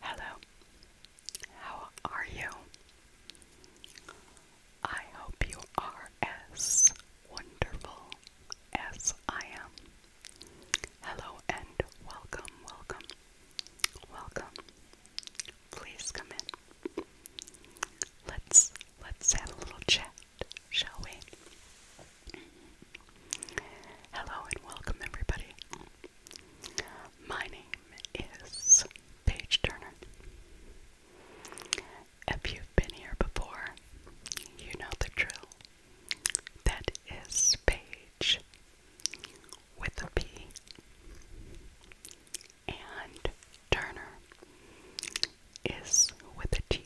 Hello, how are you? I hope you are as wonderful as I am. Hello and welcome, welcome, welcome. Please come in. Let's let's have a little chat, shall we? Hello and welcome, everybody. My name is Paige Turner. If you've been here before, you know the drill. That is Paige with a P and Turner is with a T.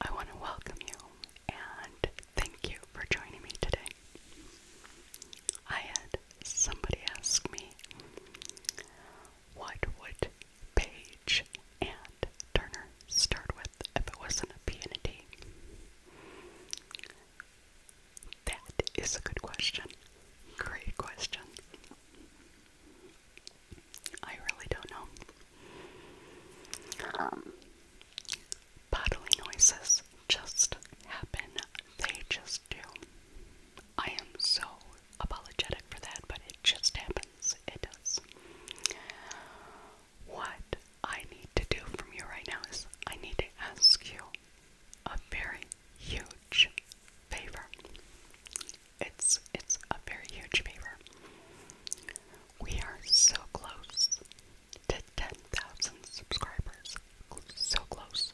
I want to welcome you and thank you for joining me today. I had somebody ask me what would Page and Turner start with if it wasn't a P and a D. That is a good question. Great question. I really don't know. Um, noises just happen, they just do. I am so apologetic for that, but it just happens. It does. What I need to do from you right now is I need to ask you a very huge favor. It's it's a very huge favor. We are so close to 10,000 subscribers. So close.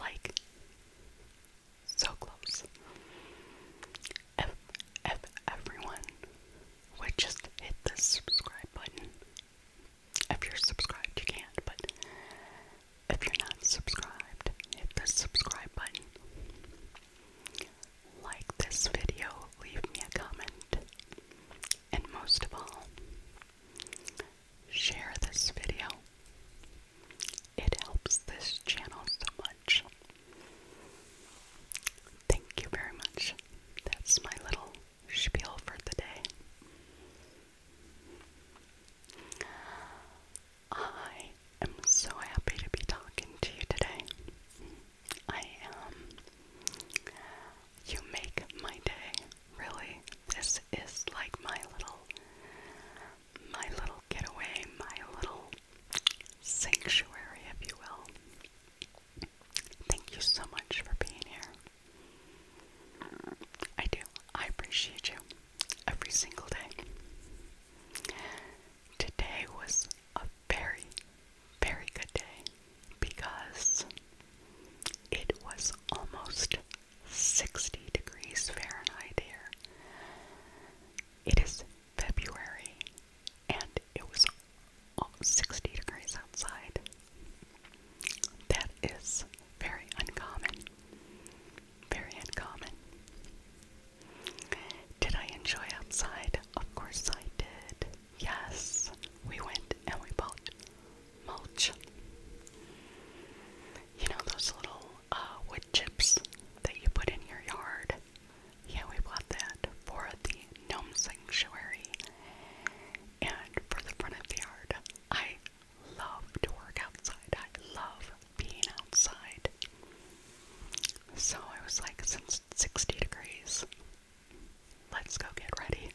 Like, so close. If, if everyone would just hit the subscribe button, if you're subscribed, you can't, but if you're not subscribed, hit the subscribe button. Like this video, leave me a comment, and most of all, share this video. It helps this channel so much. Thank you very much. That's my little spiel for the day. I am so happy to be talking to you today. I am. You make my day, really. This is like my little, my little getaway, my little sanctuary, if you will. Thank you so much for being here. I do. I appreciate you every single day. Today was a very, very good day because it was almost 60 degrees Fahrenheit here. It is February and it was 60 degrees outside. That is very uncommon. Very uncommon. Did I enjoy outside? Of course I did. Yes, we went and we bought mulch. You know those little uh, wood chips that you put in your yard? Yeah, we bought that for the gnome sanctuary and for the front of the yard. I love to work outside. I love being outside. So I was like, 60 degrees, let's go get ready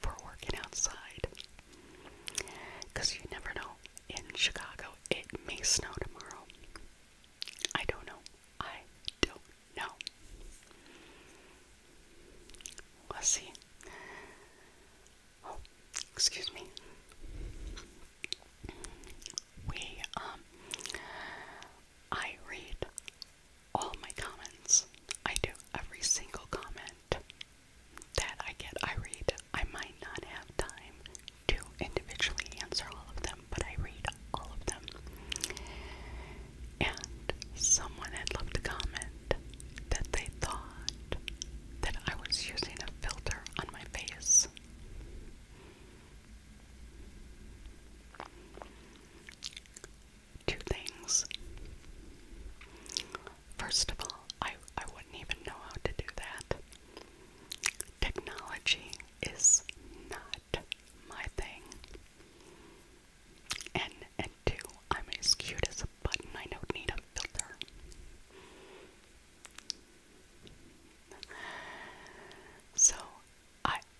for working outside. Because you never know. In Chicago, it may snow tomorrow. I don't know. I don't know. Let's see. Oh, excuse me. We um I read all my comments. I do every single comment that I get. I read. I might not have time to individually answer all of them, but I read all of them. And someone had left a comment that they thought that I was using a filter on my face. Two things. First of all, I, I wouldn't even know how to do that. Technology is not my thing. And and two, I'm as cute as a button. I don't need a filter. So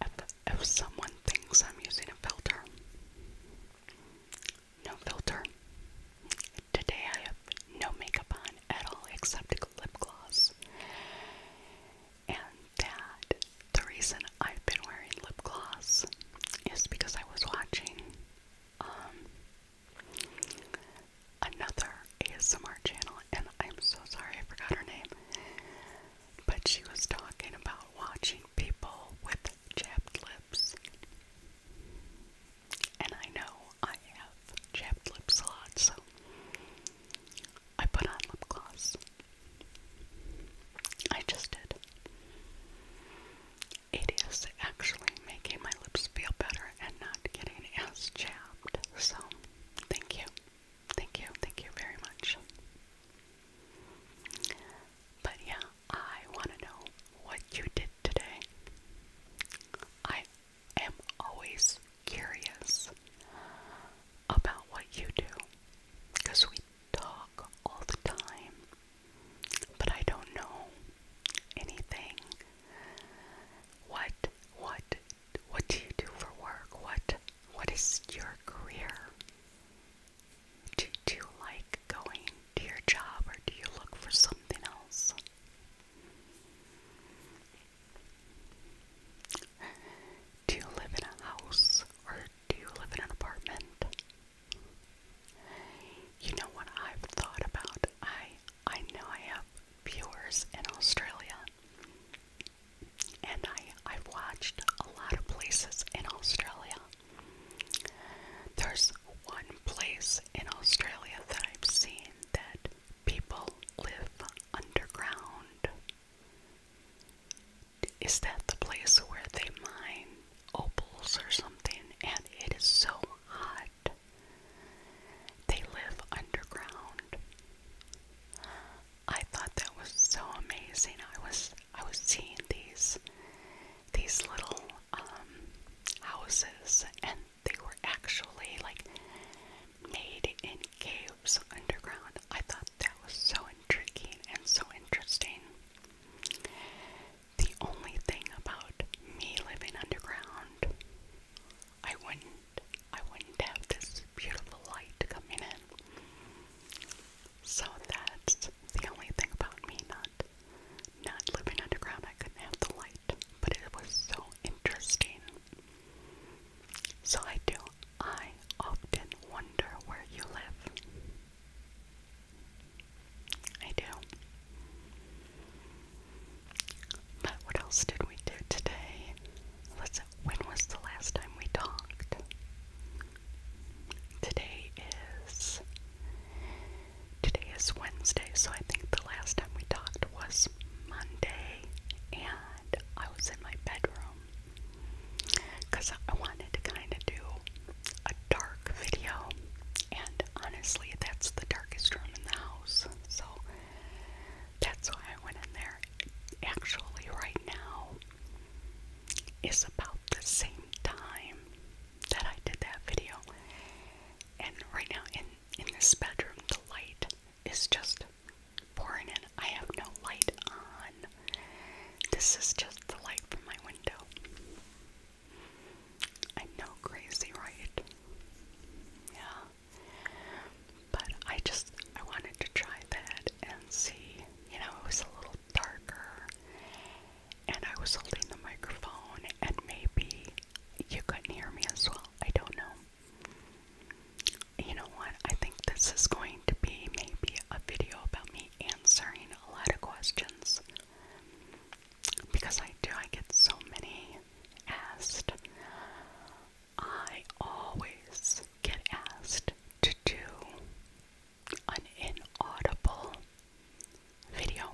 if, if someone thinks I'm using a filter, no filter. Today I have no makeup on at all except lip gloss. And that the reason I've been wearing lip gloss is because I was watching um, another ASMR channel, and I'm so sorry I forgot her name. But she was talking about watching people with chapped lips. And I know I have chapped lips a lot, so I put on lip gloss. I just did. It is actually making my lips feel better and not getting as chapped, so thank you. Thank you, thank you very much. But yeah, I want to know what you did today. I am always curious about what you do because we talk all the time, but I don't know anything. What, what what do you do for work? What what is your career? Do, you like going to your job or do you look for something else? Do you live in a house or do you live in an apartment? You know what I've thought about? I I know I have viewers in Australia and I, I've watched a lot of places in Australia. There's one place in Australia that I've seen that people live underground. Is that the place where they mine opals or something? And it is so hot. They live underground. I thought that was so amazing. I was I was seeing these these little um, houses, and they were actually like made in caves underground. I thought that was so intriguing and so interesting. The only thing about me living underground, I wouldn't I wouldn't have this beautiful light coming in. So that's the only thing about me not not living underground. I couldn't have the light, but it was so interesting. So I do. I often wonder where you live. I do. But what else did we do today? let When was the last time we talked? Today is. Today is Wednesday, so I think the last time we talked was Monday, and I was in my bedroom because I wanted to kind of do a dark video, and honestly, that's the darkest room in the house. So that's why I went in there. Actually, right now it's about the same time that I did that video. And right now in in this bedroom, the light is just pouring in. I have no light on. This is just the light from my window. I know, crazy, right? Yeah. But I just I wanted to try that and see. You know, it was a little darker, and I was holding the microphone, and maybe you couldn't hear me as well. I don't know. You know what? I think this is going to be maybe a video about me answering a lot of questions. Because I do, I get so many asked I always get asked to do an inaudible video,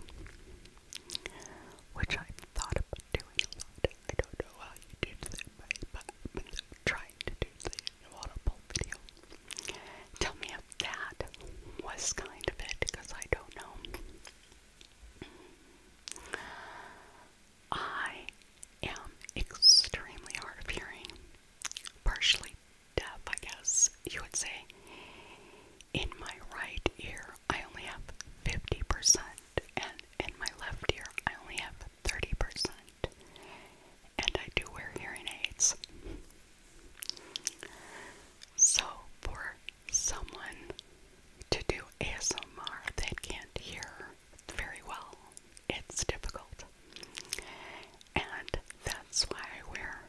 which i thought about doing a lot. I don't know how you do that, but I'm trying to do the inaudible video. Tell me if that was kind of it, because I don't know. I am extremely hard of hearing, partially deaf, I guess you would say. In my right ear, I only have 50%, and in my left ear, I only have 30%. And I do wear hearing aids. So, for someone to do ASMR that can't hear very well. It's difficult. And that's why I wear,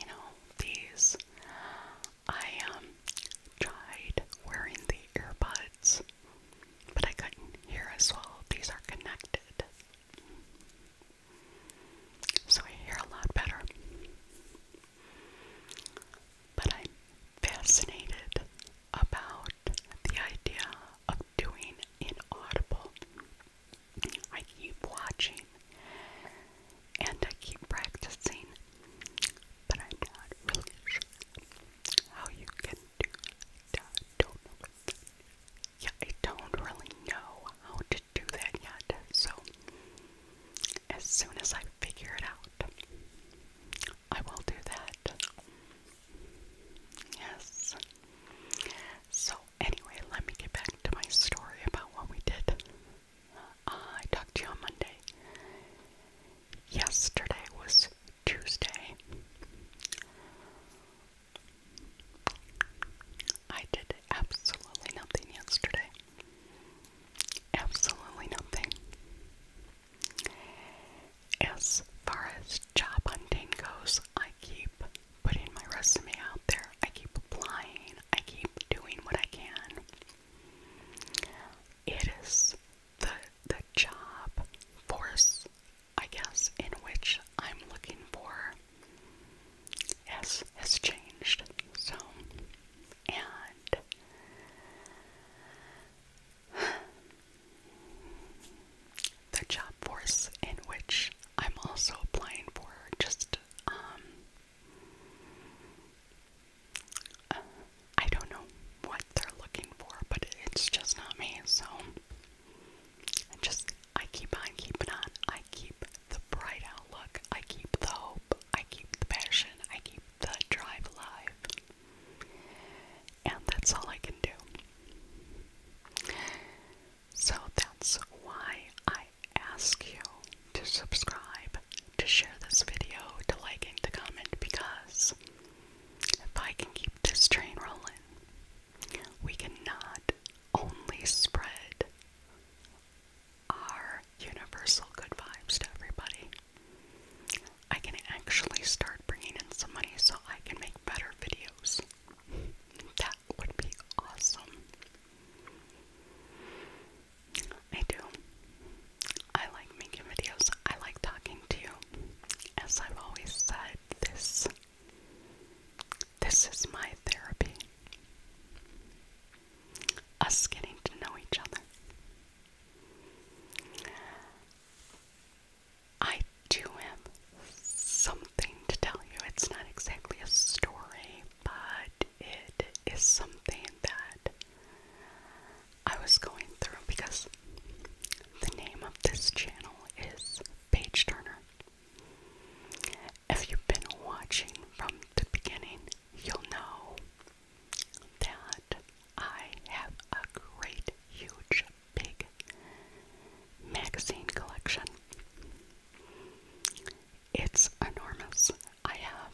you know, these. I um, tried wearing the earbuds, but I couldn't hear as well. These are connected. So I hear a lot better. But i fascinated about the idea of doing inaudible. I keep watching and I keep practicing, but I'm not really sure how you can do that. Yeah, I don't really know how to do that yet, so as soon as I figure it out, I will do that. Yes. So, anyway, let me get back to my story about what we did. Uh, I talked to you on Monday. Yesterday was Tuesday. I did absolutely nothing yesterday. Absolutely nothing. As far as job hunting goes, I keep putting my resume out there. I keep applying. I keep doing what I can. It is the the job force, I guess, in which I'm looking for has has changed. So and the job force in which I'm also applying for just um I don't know what they're looking for, but it's just not me, so I just I keep on keeping on. I keep the bright outlook, I keep the hope, I keep the passion, I keep the drive alive. And that's all I can do. So that's why I ask you to subscribe, to share this video, to like and to comment because if I can keep this train rolling, we can not only spread our universal good vibes to everybody. I can actually start bringing in some money so I can make better videos. That would be awesome. I do. I like making videos. I like talking to you. As I've always said, this this is my therapy. Us getting to know each other. I do have something to tell you. It's not exactly a story, but it is something that I was going through because the name of this channel is Page Turner. If you've been watching from the beginning, you'll know that I have a great, huge, big magazine collection. It's enormous. I have,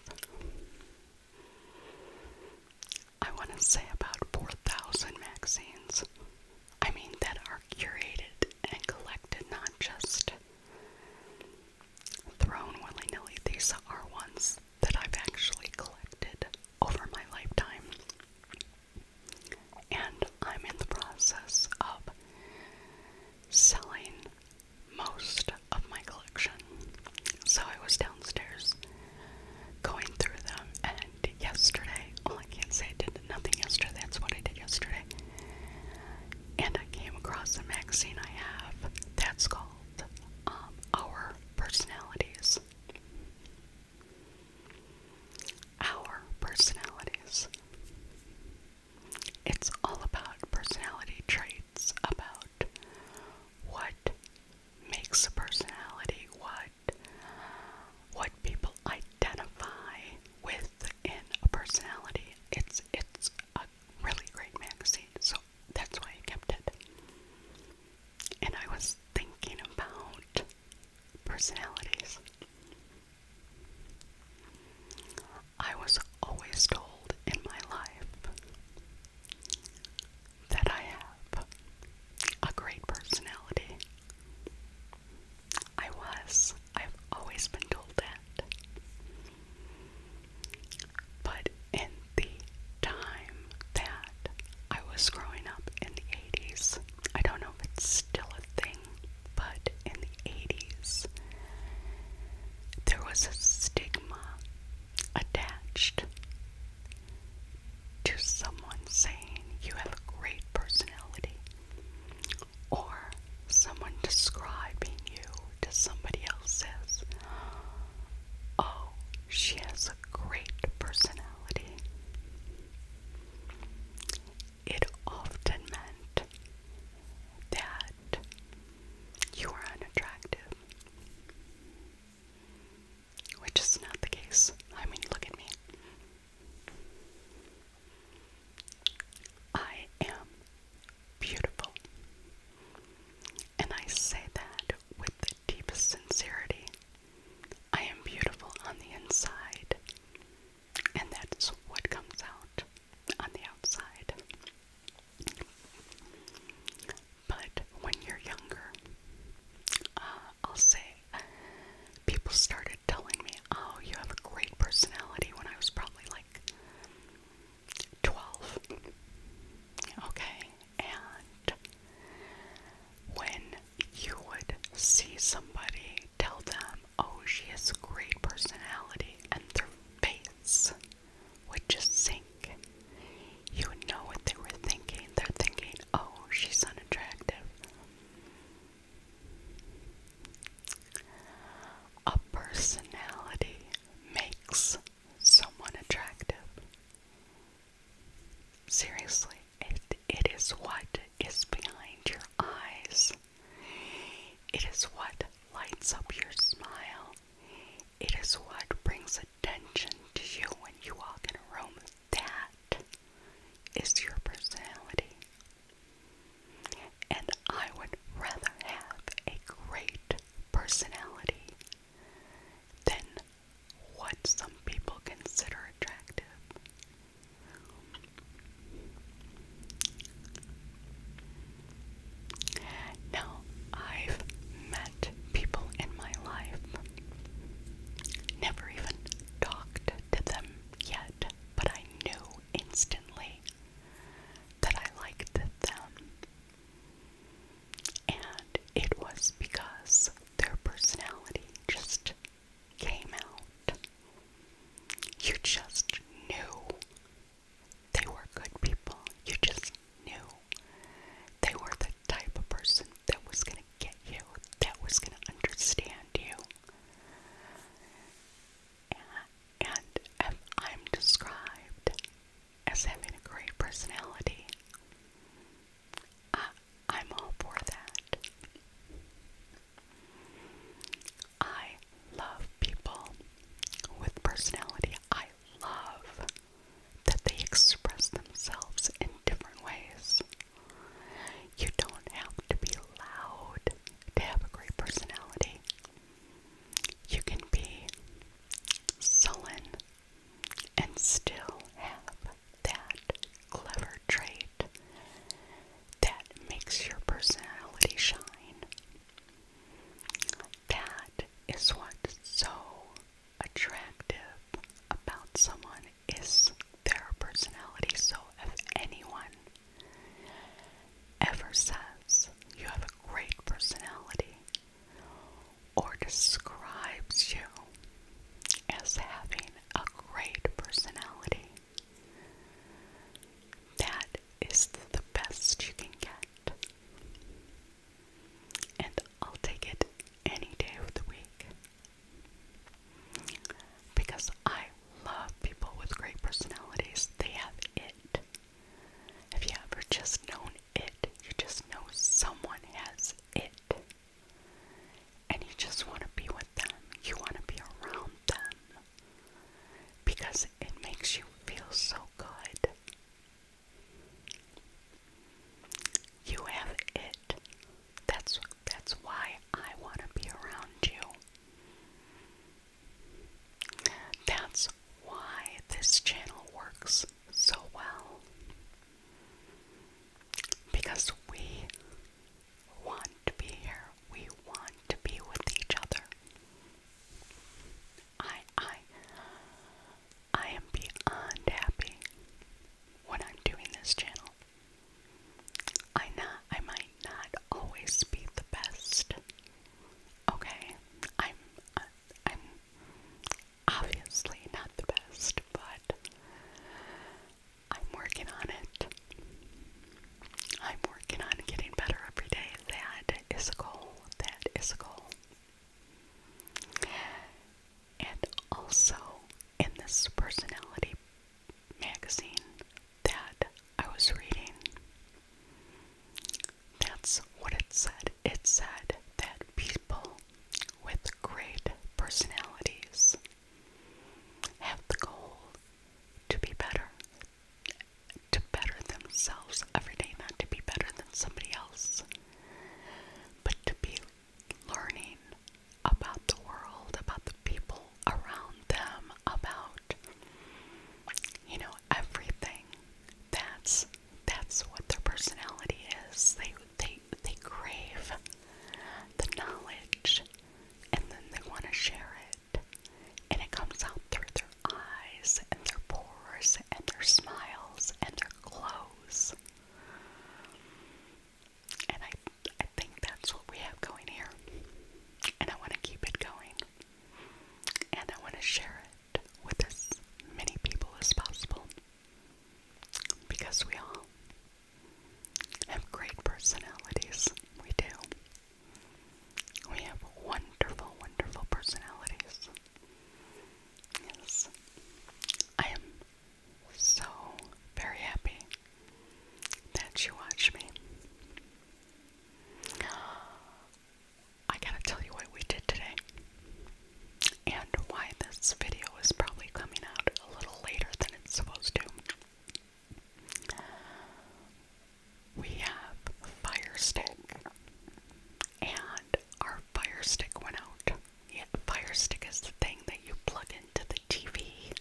I want to say, about 4,000 magazines. I mean, that are curated and collected, not just thrown willy nilly. These are ones that I've actually collected over my lifetime. And I'm in the process of selling most of my collection. So I was downstairs going through them, and yesterday, well, I can't say I did nothing yesterday, that's what I did yesterday. And I came across a magazine I have that's called um, our personalities. Our personalities. It's all about personality traits, about what makes a personality, what what people identify with in a personality. It's it's a really great magazine. So that's why I kept it. And I was thinking about personalities. I was always told in my life that I have a great personality. I was. I've always been told that. But in the time that I was growing up in the 80s, I don't know if it's still a thing, but in the 80s, there was a stigma attached to someone saying you have a great personality or someone describing you to somebody else says, Oh, she has a great personality. It often meant that you are unattractive, which is not the case. I mean, look at me. I am beautiful. And I say that with the deepest sincerity. I am beautiful on the inside, and that's what comes out on the outside. But when you're younger, uh, I'll say people started telling me, Oh, you have a great personality when I was probably like 12. Okay, and when you would see somebody tell them, oh, she has great personality, and their face would just sink, you would know what they were thinking. They're thinking, oh, she's unattractive. A personality makes someone attractive. Seriously, it, it is what is behind your eyes. It is what lights up your smile. It is what brings attention to you when you walk in a room. That is your personality. And I would rather have a great personality than what some people consider attractive. Now, I've met people in my life, never even talked to them yet, but I knew instantly that I liked them and it was because their personality just came out. You just knew they were good people. You just knew they were the type of person that was going to get you, that was going to understand you. And, I'm described as having a great personality. I, am all for that. I love people with personality. I love that they express themselves in different ways. You don't have to be loud to have a great personality. You can be sullen and still have that clever trait that makes your personality shine. That is what's so attractive about someone is their personality. So if anyone ever says you have a great personality, or describes you as having a great personality. That is the best you can get. And I'll take it any day of the week. Because I love people with great personalities. They have it. Have you ever just known it. You just know someone has it. And you just want to be with them. You want to be around them. Because it makes you feel so good. You have it. That's that's why I want to be around you. That's why this channel works so well. Because we want to be here. We want to be with each other. I I I am beyond happy when I'm doing this channel. I not I might not always be the best. Okay? I'm I'm obviously not the best, but I'm working on it. I'm working on getting better every day. That is a goal. That is a goal. And also in this personality magazine that I was reading, that's what it said. It said that people with great personalities have the goal to be better, to better themselves every day, not to be better than somebody else, but to be learning about the world, about the people around them, about, you know, everything. That's that's what their personality is. They they they crave the knowledge and then they want to share it. And it comes out through their eyes and their pores and their smiles and their clothes. And I I think that's what we have going here. And I want to keep it going. And I want to share it with as many people as possible because we all have great personalities. We do. We have wonderful, wonderful personalities. Yes. I am so very happy that you watch me. I gotta tell you what we did today and why this video is probably coming out a little later than it's supposed to. We have fire stick and our fire stick went out. Yeah, fire stick is the thing that you plug into the TV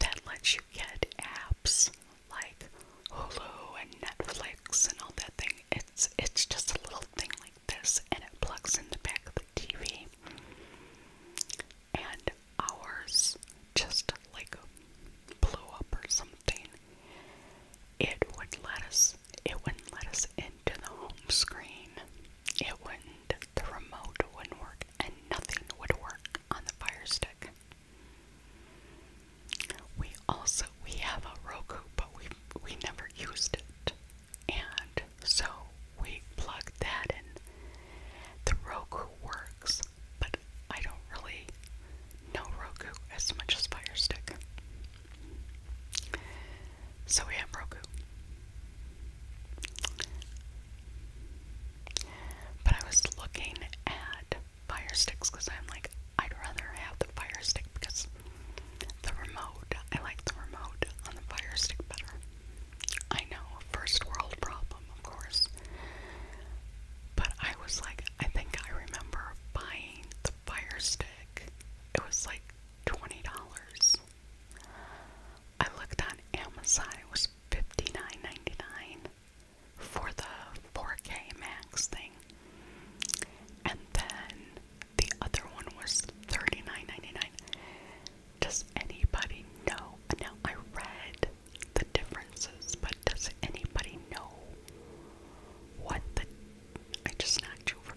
that lets you get apps like Hulu and Netflix and all that thing. It's it's just a little thing like this, and it plugs in the back of the TV. And ours just like blew up or something. It would let us. It wouldn't let us into the home screen. It wouldn't. The remote wouldn't work, and nothing would work on the Fire Stick. We also we have a Roku, but we we never used it, and so we plugged that in. The Roku works, but I don't really know Roku as much as Fire Stick. So we have Roku. But I was looking at fire sticks because I'm like, I'd rather have the fire stick because the remote, I like the remote on the fire stick better. I know, first world problem, of course. But I was like, I think I remember buying the fire stick. It was like $20. I looked on Amazon, it was $59.99 for the 4K Max thing. And then the other one was 39 Does anybody know? Now I read the differences, but does anybody know what the I just knocked over.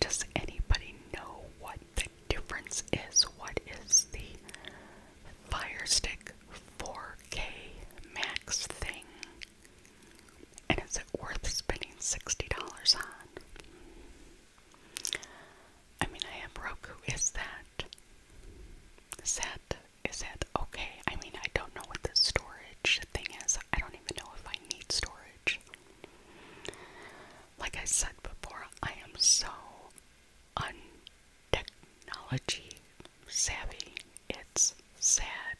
Does anybody know what the difference is? What is the Fire Stick 4K Max thing and is it worth spending $60 on? I mean, I have Roku. Is that. Is that. Is that okay? I mean, I don't know what the storage thing is. I don't even know if I need storage. Like I said before, I am so un technology savvy. It's sad.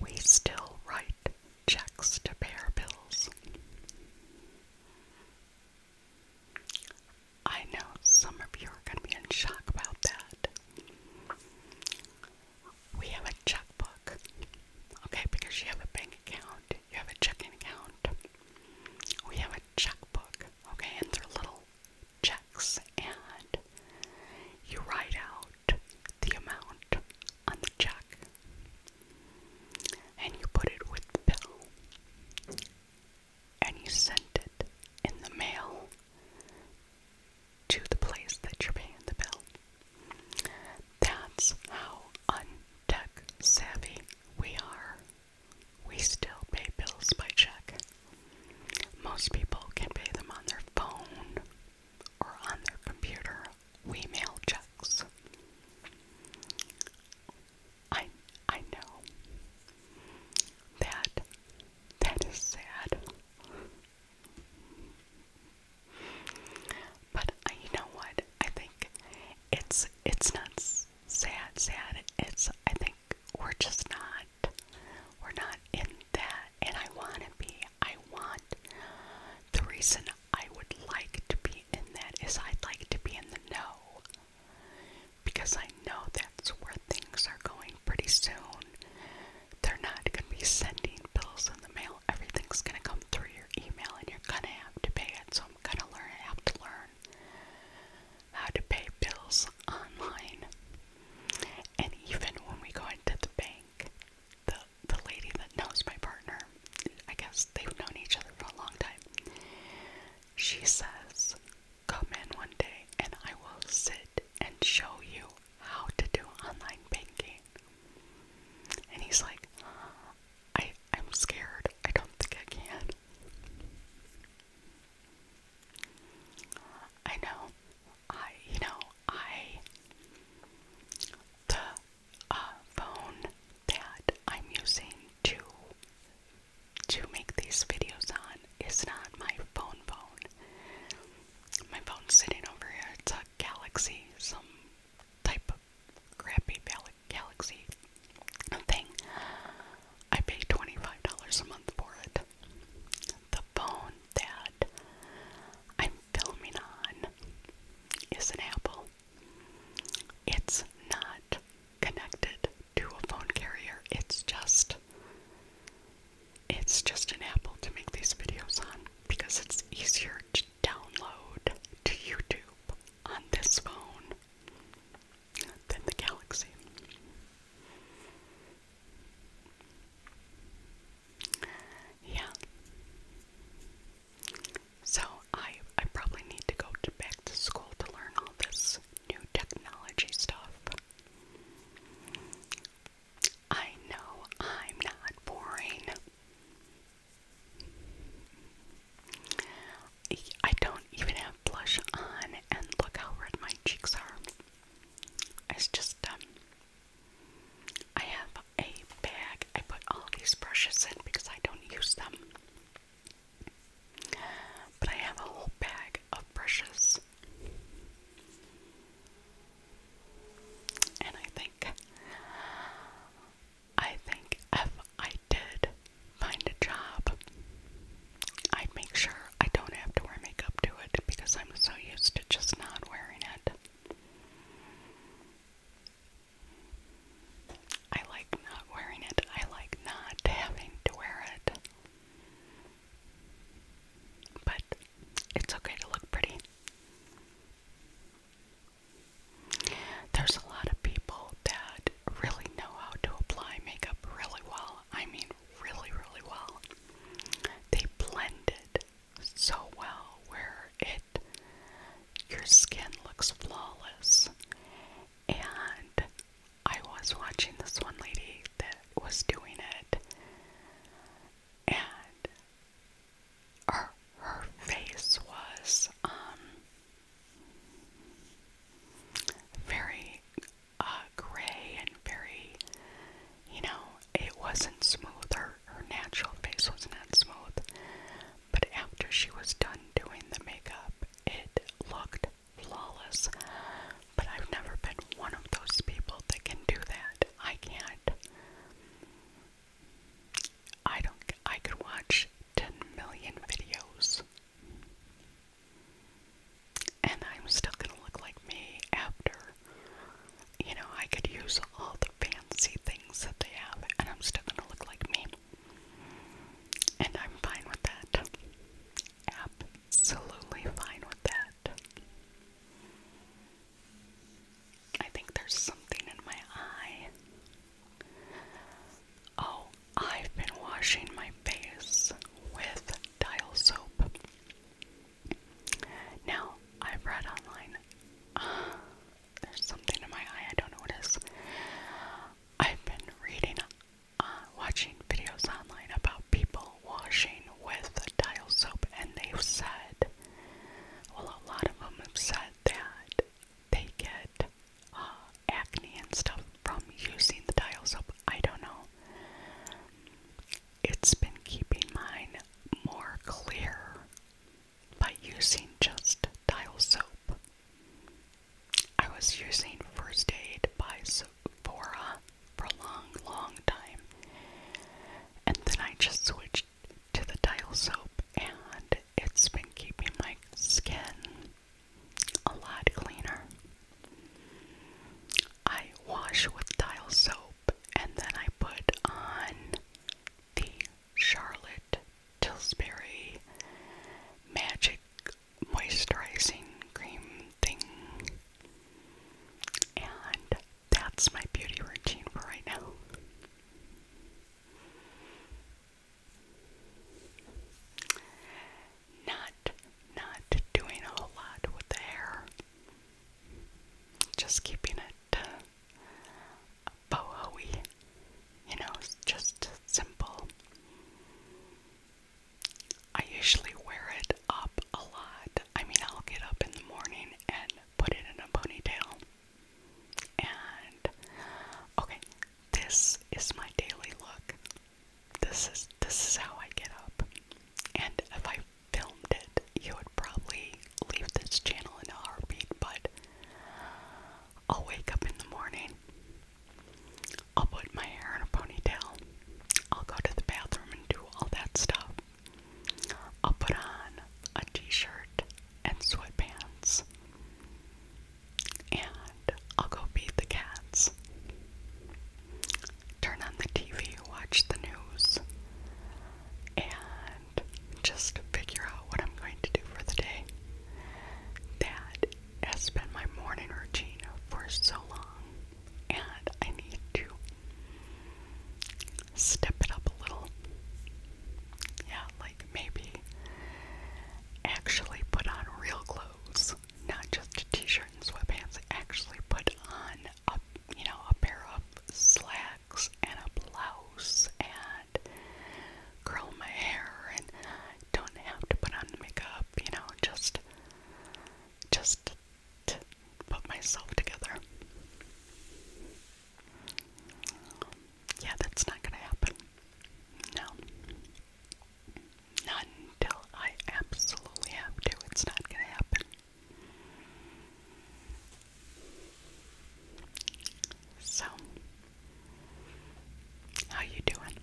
We still write checks to pay our bills. I know some of you are going to be in shock about that. We have a checkbook, okay, because you have a bank account, you have a checking account. We have a checkbook, okay, and they're little checks and you write out the amount on the check and you put it with the bill and you send it in the mail to the place that you're paying the bill. That's how untech savvy we are. We still pay bills by check. Most people can pay them on their phone or on their computer. We mail checks. I I know that that is sad. But I, uh, you know what? I think it's it's not sad, sad. It's I think we're just not we're not in that, and I want to be. I want. The reason I would like to be in that is I'd like to be in the know. Because I know that's where things are going pretty soon. They're not going to be sending bills in the mail. Everything's going to come through your email and you're going to have to pay it. So I'm going to learn, have to learn how to pay bills online. And even when we go into the bank, the the lady that knows my partner, I guess they've known each other for a long time. She says, "Come in one day, and I will sit and show you how to do online banking." And he's like, "I I'm scared. I don't think I can." I know. I, you know, I. The uh, phone that I'm using to to make these videos on is not my phone phone. My phone's sitting over here. It's a Galaxy, some type of crappy Galaxy thing. I pay $25 a month for it. The phone that I'm filming on is an Apple. It's not connected to a phone carrier. It's just it's just an Apple to make these videos on because it's easier to download to YouTube on this phone than the galaxy. Yeah. So I I probably need to go back to school to learn all this new technology stuff. I know I'm not boring. I don't even have blush on and look how red my cheeks are. It's just, um, I have a bag. I put all these brushes in because I don't use them. But I have a whole bag of brushes. And I think, I think if I did find a job, I'd make sure I don't have to wear makeup to it because I'm so used to just not wearing it. I like not wearing it. I like not having to wear it. But it's okay to look pretty. There's a lot of people that really know how to apply makeup really well. I mean, really, really well. They blend it so well where it your skin looks flawless. And I was watching this one lady that was doing it, and her, her face was um very uh, gray and very, you know, it wasn't smooth. Her, her natural face was not smooth. But after she was done doing the makeup, it looked flawless. But I've never been one of those people that can do that. I can't. I don't. I could watch 10 million videos and I'm still gonna look like me after. You know, I could use all the fancy things that they have, and I'm still gonna look like me. And I'm fine with that. Absolutely fine with that. I think there's something in my eye. Oh, I've been washing my face with dial soap. Now, I've read online. there's something in my eye, I don't know what it is. I've been reading, uh, watching videos online about people washing with dial soap, and they've said, well, a lot of them have said that they get uh, acne and stuff from using the dial soap. I don't know. It's been keeping mine more clear by using just dial soap. I was using First Aid by Sephora for a long, long time, and then I just switched to the dial soap, and it's been keeping my skin a lot cleaner. I wash with Dial soap and then I put on the Charlotte Tilbury Magic Moisturizing Cream thing. And that's my beauty routine for right now. Not, not doing a whole lot with the hair. Just keeping it uh, You know, just simple. I usually wear it up a lot. I mean, I'll get up in the morning and put it in a ponytail. And okay, this is my daily look this is this is how I get up. And if I filmed it, you would probably leave this channel in a heartbeat, but I'll wake up in the morning. I'll put my hair in a ponytail. I'll go to the bathroom and do all that stuff. I'll put on a t-shirt and sweatpants and I'll go feed the cats. Turn on the TV, watch the news, and just figure out what I'm going to do for the day. That has been my morning routine for so long, and I need to step it up a little. Yeah, like maybe actually put on real clothes clothes, not just a t-shirt and sweatpants. Actually, put on a you know a pair of slacks and a blouse and curl my hair and don't have to put on makeup. You know, just just to put myself together. Yeah, that's not gonna happen. No until I absolutely have to. It's not going to happen. So, how you doing?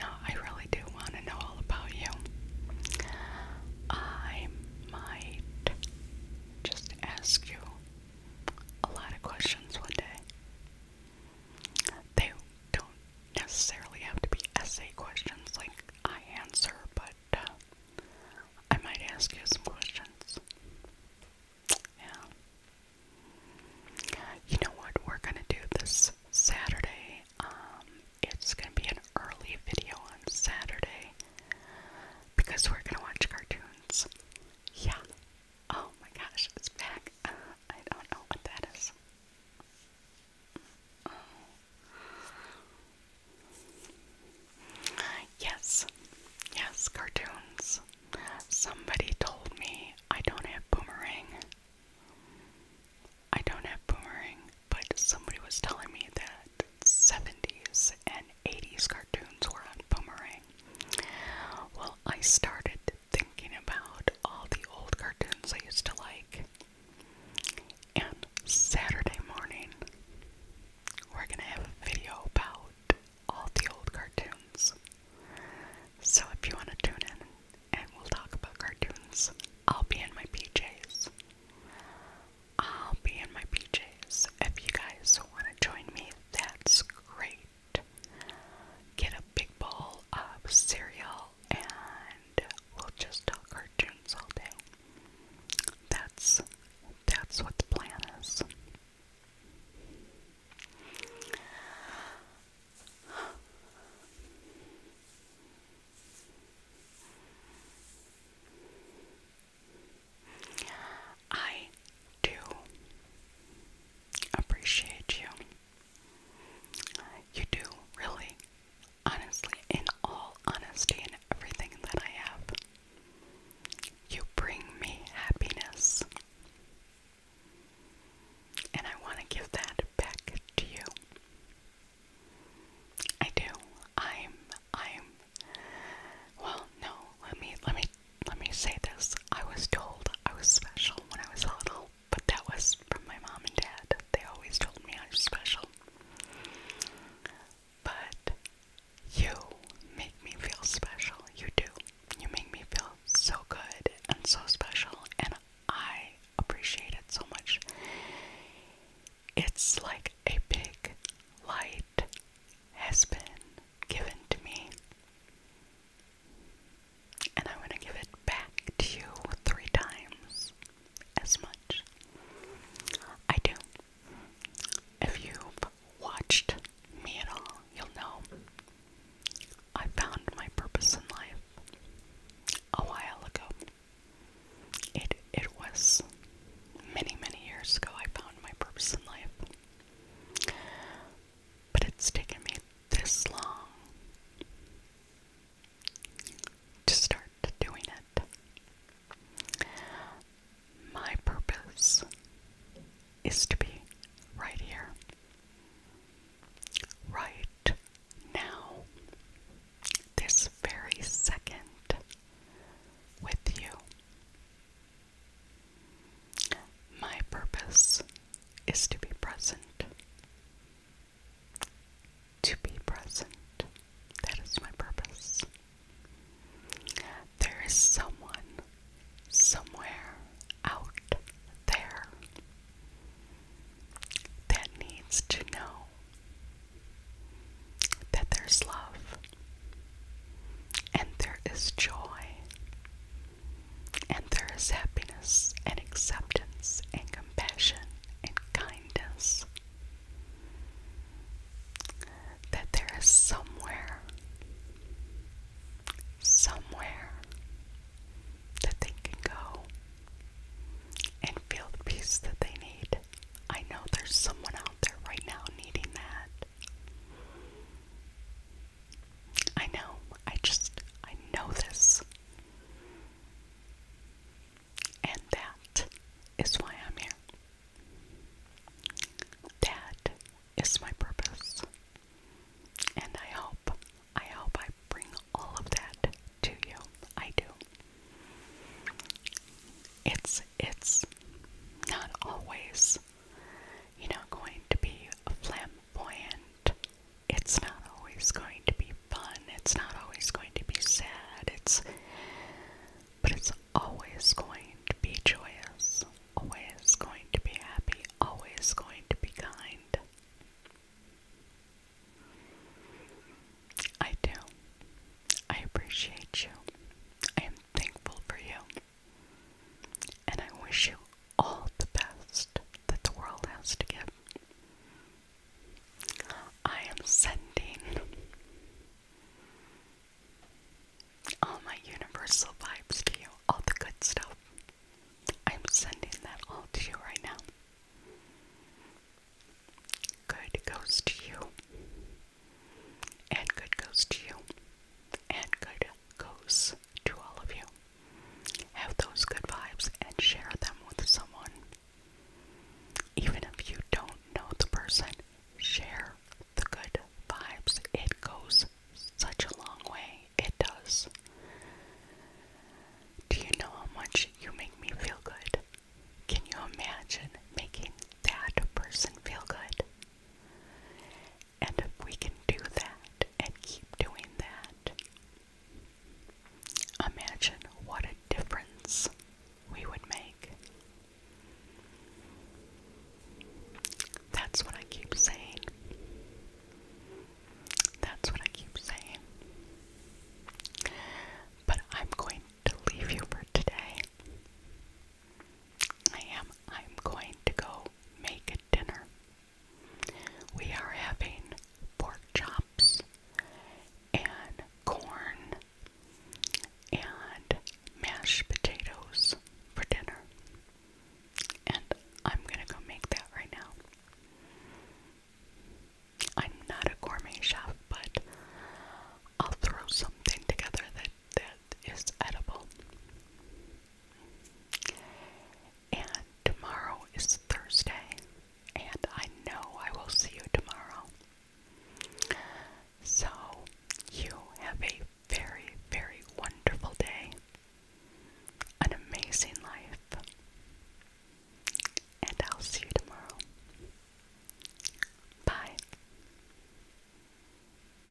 No, I really do want to know all about you. I might just ask you a lot of questions one day. They don't necessarily have to be essay questions like I answer, but uh, I might ask you some questions. Yeah. You know what we're gonna do this Saturday? Um, it's gonna be an early video on Saturday because we're gonna watch cartoons. Yeah. Oh my gosh, it's back. I don't know what that is. Yes, yes, cartoons. Somebody told me I don't have boomerang. I don't have boomerang, but somebody was telling me that 70s and 80s cartoons were on boomerang. Well, I started thinking about all the old cartoons I used to like. And Saturday morning, we're going to have a video about all the old cartoons. So if you want to tune in and we'll talk about cartoons, I'll be in my PJs. I'll be in my PJs. If you guys want to join me, that's great get a big bowl of cereal, and we'll just talk cartoons all day. That's that's what the plan is. I do appreciate you. You do, really, honestly, in all honesty, in everything that I have. You bring me happiness. And I want to give that back to you. I do. I'm I'm well no, let me let me let me say this I was told I was special when I was little, but that was from my mom and dad. They always told me I was special. But you make me feel special. You do. You make me feel so good and so special, and I appreciate it so much. It's like a big light has been given to me. And I want to give it back to you three times as much. I do. If you've watched me at all, you'll know I found my purpose in life a while ago. It it was many, many years ago I found my purpose in life but it's taken me this long to start doing it. My purpose is to be right here, right now, this very second with you. My purpose is to be present. To be present. That is my purpose. There is someone somewhere out there that needs to know that there's love and there is joy and there is happiness and acceptance and compassion and kindness. That there is somewhere, somewhere that they can go and feel the peace that they need. I know there's someone out there right now needing that. I know. I just, I know this. And that is why I'm here. That is my purpose. And I hope, I hope I bring all of that to you. I do. It's, it's not always you're not going to be flamboyant. It's not always going to be fun. It's not always going to be sad. It's but it's always going to be joyous. Always going to be happy. Always going to be kind. I do. I appreciate you. I am thankful for you. And I wish you all the best that the world has to give. I am sending all my universal vibes to you, all the good stuff. I'm sending that all to you right now. Good goes to you, and good goes to you, and good goes to all of you. Have those good vibes and share them with someone. Even if you don't know the person, share the good vibes. It goes such a long way. It does. Do you know how much you make me feel good? Can you imagine making that person feel good? And if we can do that and keep doing that, imagine what a difference we would make. That's what I keep saying. That's what I keep saying. But I'm going to leave you for today. I am I'm going to go make a dinner. We are having pork chops and corn and mashed potatoes for dinner. And I'm gonna go make that right now. I'm not a gourmet chef, but I'll throw something together that that is edible. And tomorrow is Thursday, and I know I will see you tomorrow. So, you have a very, very wonderful day, an amazing life, and I'll see you tomorrow. Bye.